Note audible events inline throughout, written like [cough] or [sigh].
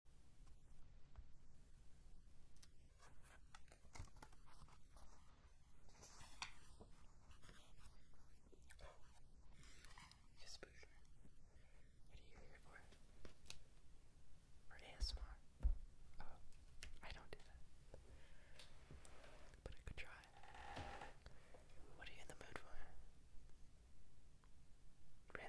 Yes, What are you here for? For ASMR? Oh, I don't do that. But I could try. What are you in the mood for? Really?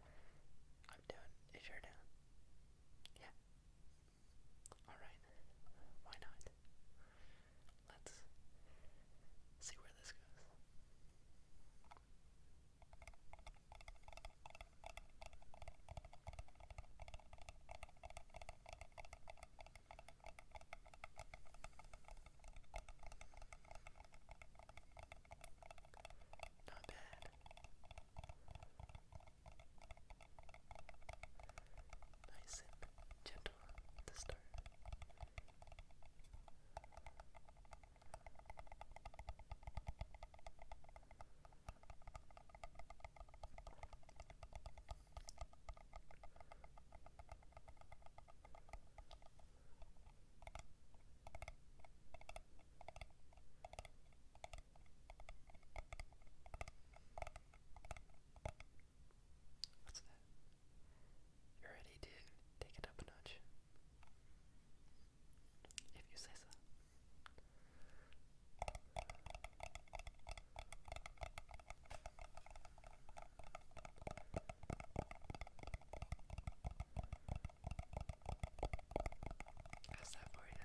I'm down. If you're down, yeah. All right. Why not? Let's see where this goes. Not bad. Nice and gentle at the start. What's that? You're take it up a notch. If you say so. How's that for you?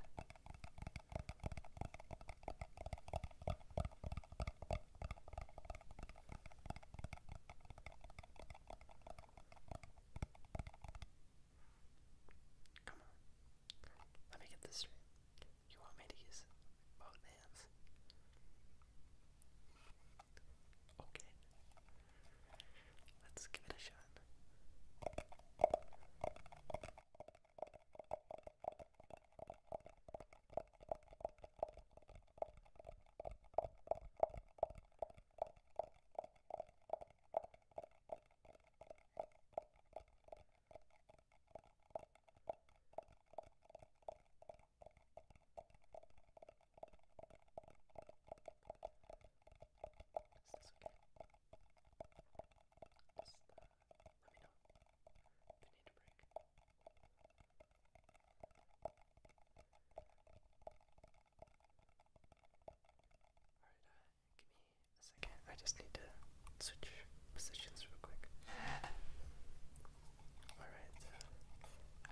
Come on. Let me get this straight. You want me to use both hands? Okay. Let's give it a shot let me know if need a break. Alright, give me a second. I just need to switch positions real quick. Alright,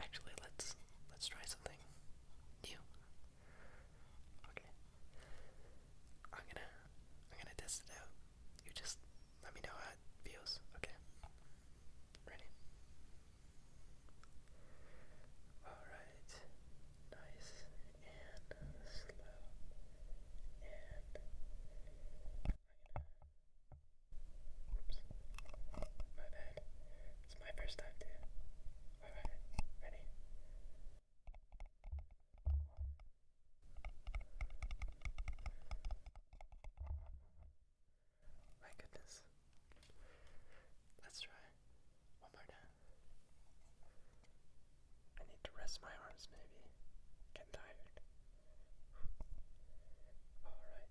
actually, let's let's try something. You. Okay. I'm gonna I'm gonna test it out. You just let me know how it feels. Okay. Ready? Alright. Nice and slow. And Oops. My bad. It's my first time too. Alright, ready? My goodness. Let's try. One more time. I need to rest my arms maybe. Getting tired. Alright.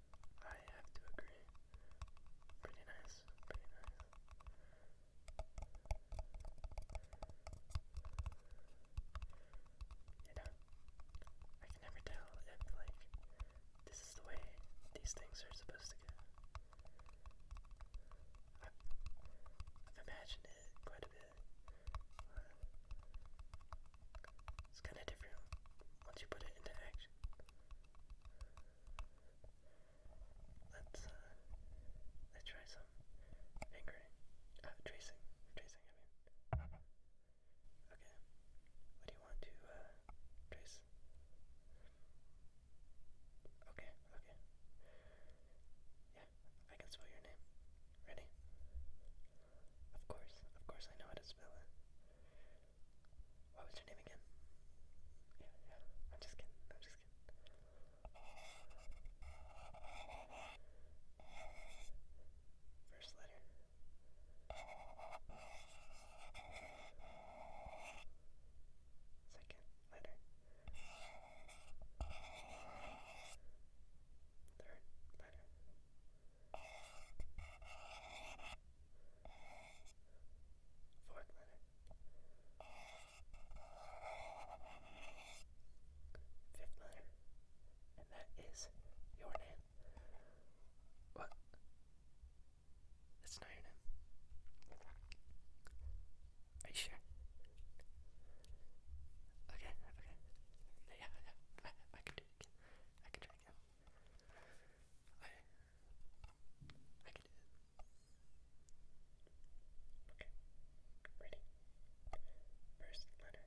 I have to agree. Pretty nice, pretty nice. You know, I can never tell if, like, this is the way these things are supposed to go. I've, imagined it quite a bit. It's kind of different once you put it into action. Let's uh, let's try some fingering, uh, tracing, tracing. okay. What do you want to uh, trace? Okay, okay. Yeah, I can spell your name. Ready? Of course, of course, I know how to spell it. What was your name again? Yeah, yeah. I'm just kidding. I'm just kidding. First letter. Second letter. Third letter. Fourth letter. Fifth letter. And that is your name. What? That's not your name. Are you sure? Okay, okay. Yeah, yeah. I, can do it again. I can do again. I I can do it. Okay. Ready? First letter.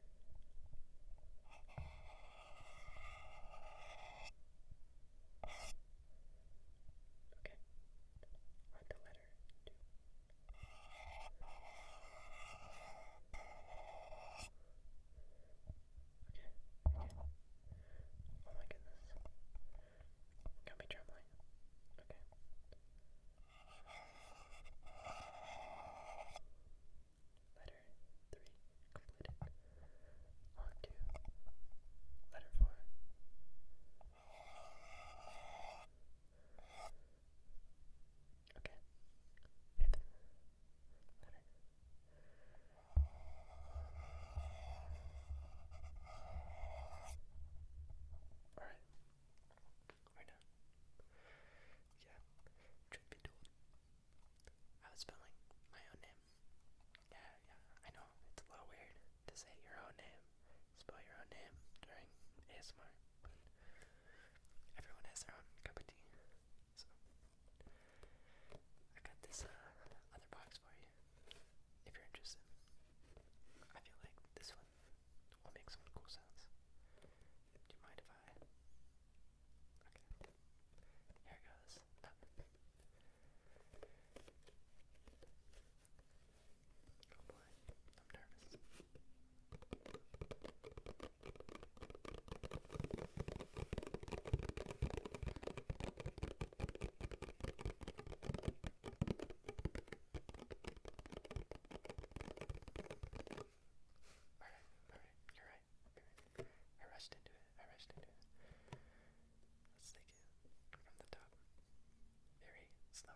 Okay. On to letter two. Oh my goodness. Got me trembling. Okay. Letter 3 completed. Log 2. Letter 4. Okay. Alright. We're Yeah. Truth be told. I was spelling my own name. Yeah, yeah. I know. It's a little weird to say your own name. Spell your own name during ASMR. But everyone has their own cup of tea. So I got this uh, other box for you if you're interested. I feel like this one will make some cool sounds. Do you mind if I? Okay. Here goes. Oh boy, I'm nervous. Alright, alright, you're right. You're right. I rushed into it. I rushed into it. Let's take it from the top. Very slow.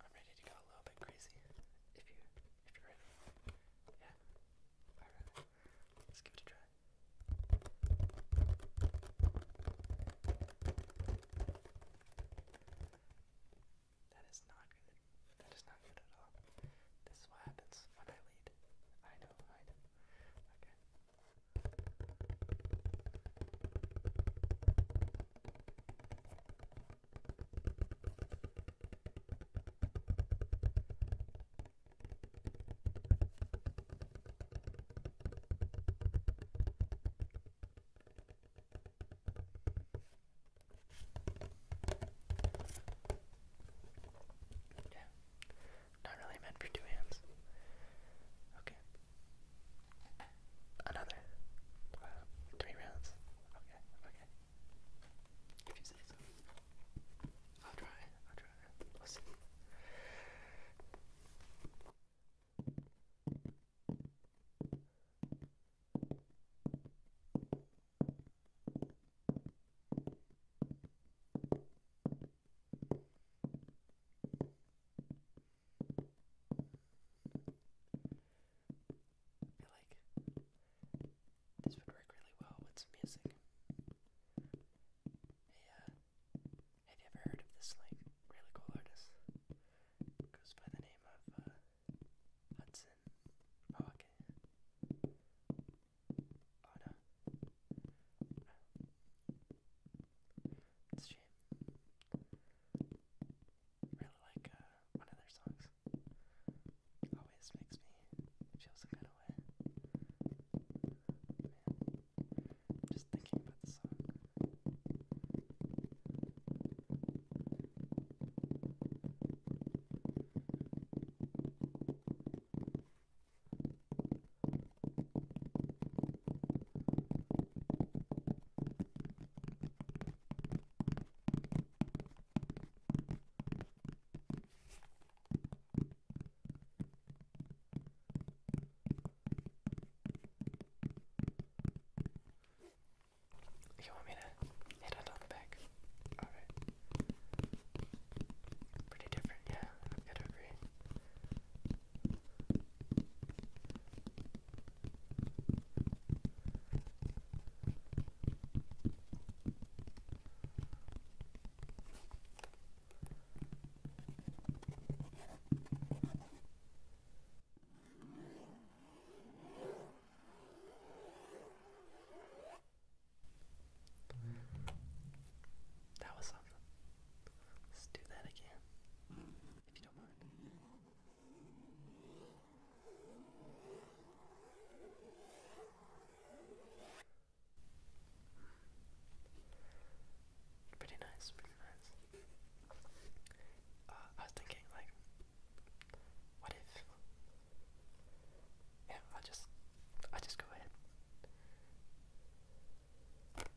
I'm ready to go a little bit crazy. If you if you're ready. Yeah. Let's give it a try. That is not good. That is not good at all. This is what happens when I lead. I know, I Okay. Yeah. Not really meant for two hands. Okay. Another? Uh, three rounds. Okay, okay. If you say so. I'll try, I'll try. we I like this would work really well with some music. Uh, have you ever heard of this like really cool artist? Goes by the name of uh, Hudson. Oh, okay. Oh no. Really like uh, one of their songs. Always makes me feel some kind of way. just thinking about the song. You want me to hit it on back? Alright. Pretty different, yeah, i got to agree. That was something. Let's do that again you Pretty nice, pretty nice. Uh, I was thinking, like, what if? Yeah, I just, I just go ahead. My goodness.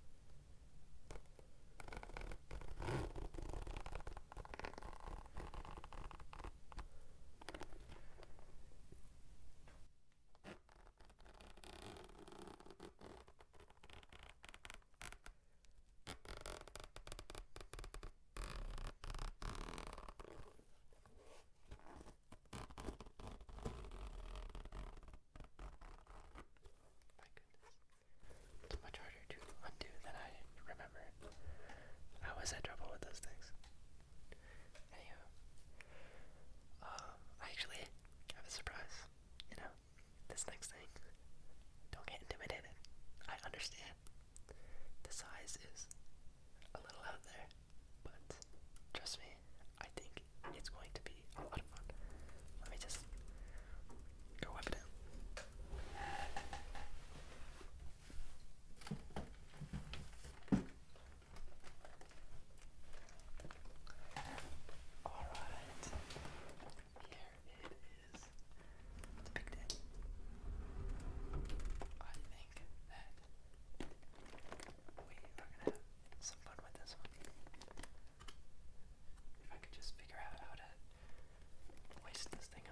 It's much harder to undo than I remember. I always had trouble with those things. Anyhow, um, I actually have a surprise. You know, this next thing. Don't get intimidated. I understand. The size is a little out there, but trust me, I think it's going to be let me just go wipe it Alright, here it is. It's a I think that we are gonna have some fun with this one. If I could just figure out how to waste this thing up.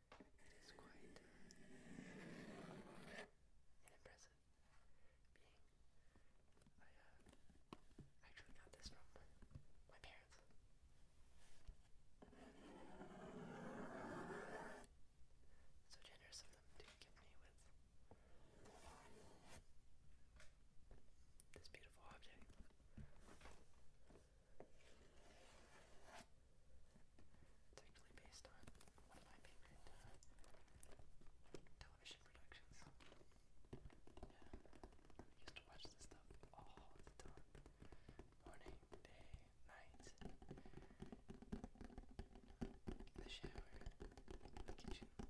is quite uh, impressive being. I uh, actually got this from my parents. So generous of them to give me with this beautiful object. It's actually based on one of my favorite uh, television productions. Yeah, I used to watch this stuff all the time. Morning, day, night. The shower, the kitchen, on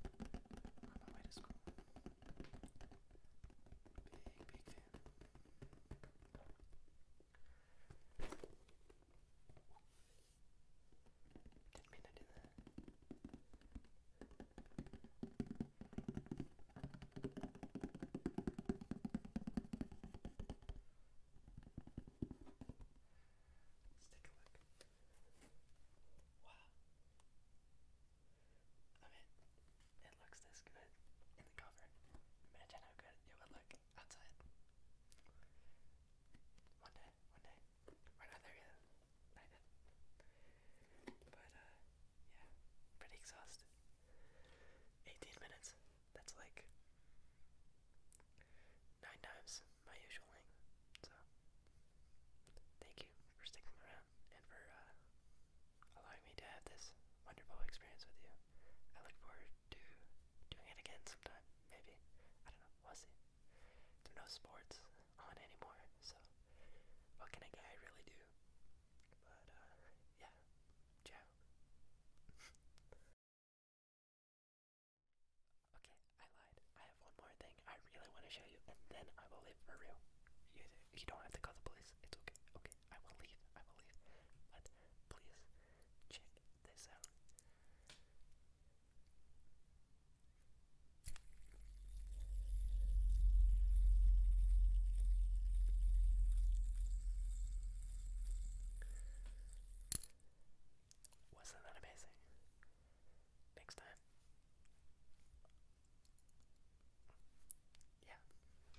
my way to school. Big, big fan. Didn't Let's take a look. Wow. I it looks this good in the cover. Imagine how good it would look outside. One day, one day. We're not But, uh, yeah, pretty exhausted. 18 minutes. That's like nine times my usual length. So, thank you for sticking around and for uh, allowing me to have this wonderful experience with you. I look forward to doing it again sometime, maybe. I don't know, we'll see. There no sports on anymore, so what can a guy really do? But, uh, yeah. Ciao. [laughs] okay, I lied. I have one more thing I really want to show you, and then I will leave for real. you don't have to call the police. It's okay. Okay. I will leave, I will leave. But please check this out. Wasn't that amazing? Next time. Yeah,